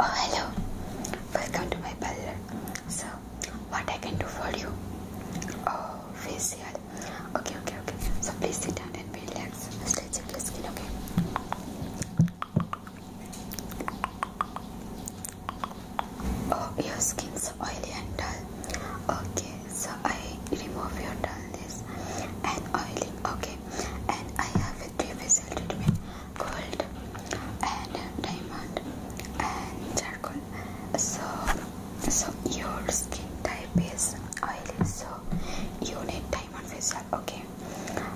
Oh, hello, welcome to my parlor. So, what I can do for you? Oh, facial. Okay, okay, okay. So, please sit down and relax. Stretch your skin, okay? Oh, your skin's so oily and dull. Okay, so I remove your dullness and oily. okay? And I have a three facial treatment gold and diamond and charcoal so so your skin type is oily so you need diamond facial okay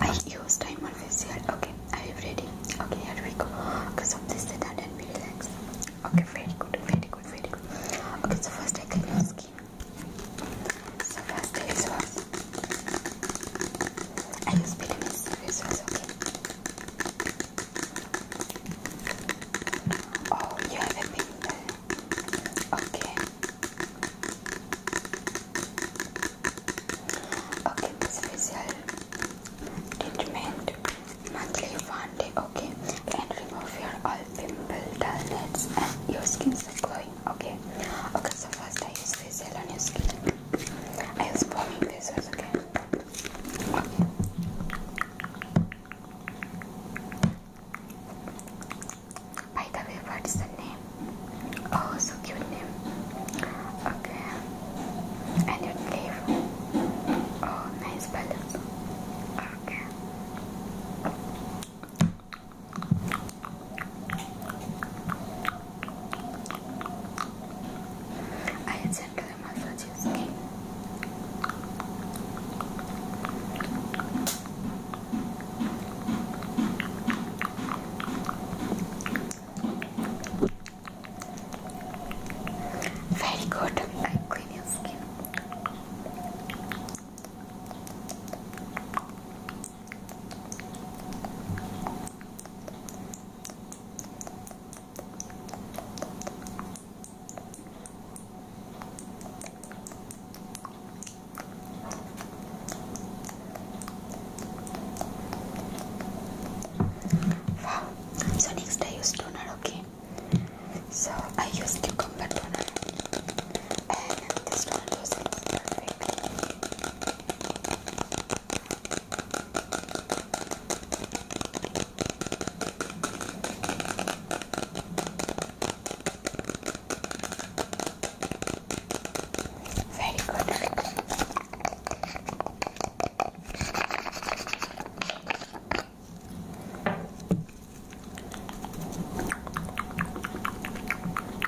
I use diamond facial okay are you ready okay here we go okay so please sit down and be relaxed okay very good very good very good okay so first I clean your skin so first is I was so it's okay. Oh, you have a pin Okay. Okay, this treatment monthly one day, okay? And remove your all pimple dullness and your skin's glowing, okay? Okay, so first I use facial on your skin. I was pouring this as okay. By the way, what is the name? Oh, so cute name. Okay. And you live. Oh, nice balance. Okay. I gently massage your Very good. I clean your skin. Wow. So next I use toner, okay? So I use cucumber toner and this one wasn't perfect. Very good.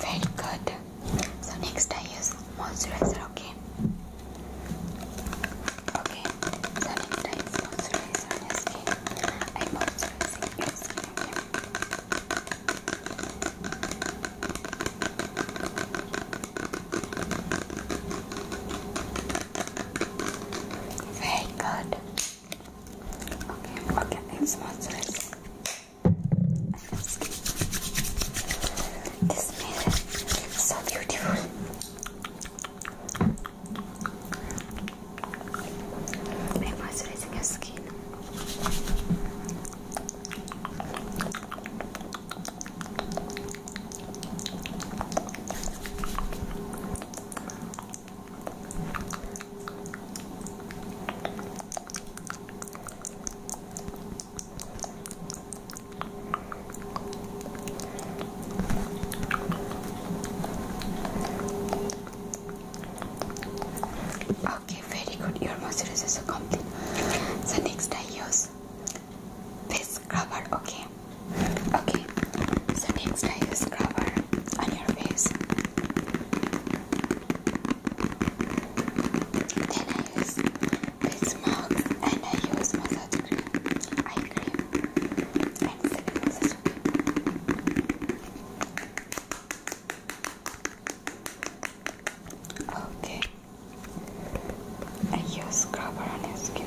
Very good. So next I use moisturizer, okay? Okay, so next I use moisturizer on I'm Very good. Okay, I'm gonna get these This man is so beautiful. i moisturizing your skin. Okay, very good. Your moisturizers are complete. The next I use this scrubber, okay? Okay, so next I use scrubber on your face. Then I use face mask, and I use moisturizer. Okay. I use scrubber on your skin.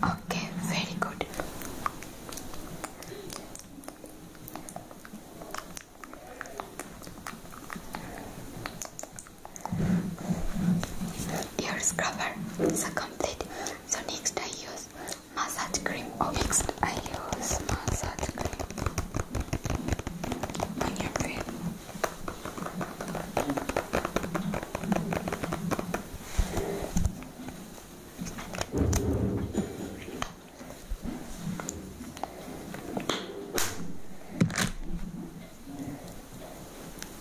Okay, very good. Your scrubber is complete. So next I use massage cream. Or oh, next I use massage cream on your face.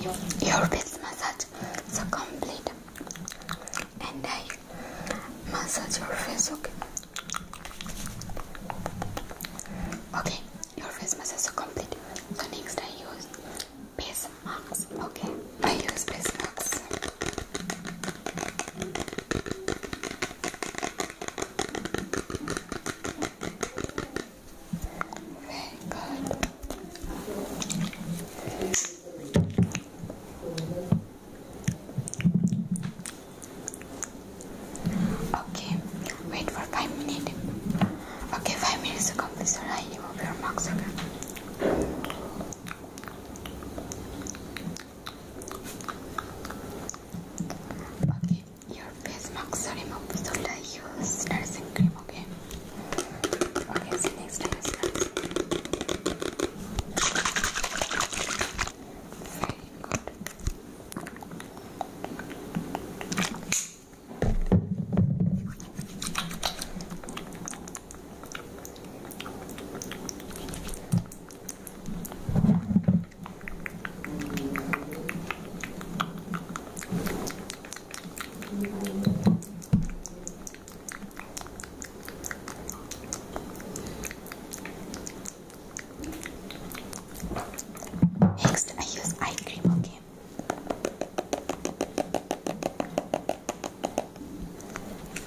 your best massage is complete and I massage your face okay okay your face massage is complete The next I use face marks okay I use face marks Okay, wait for five minutes. Okay, five minutes to complete. So I remove your marks. Okay. Okay, your face marks are removed so like use nursing cream okay okay so next time Next, I use ice cream, okay?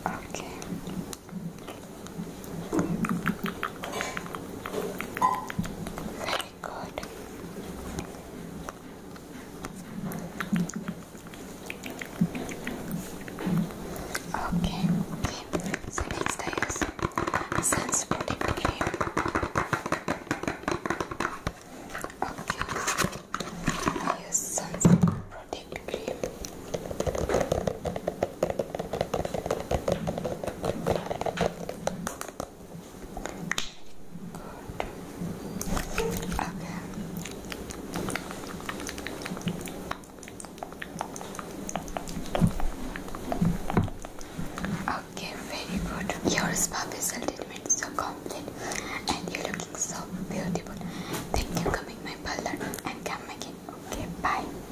Okay. Very good. Okay, So next I use sunscreen cream. Okay, use sunscreen protect cream. Okay, very good. Your spa facial treatment is so complete and you're looking so beautiful. Thank you coming my parlor and come again. Okay, bye.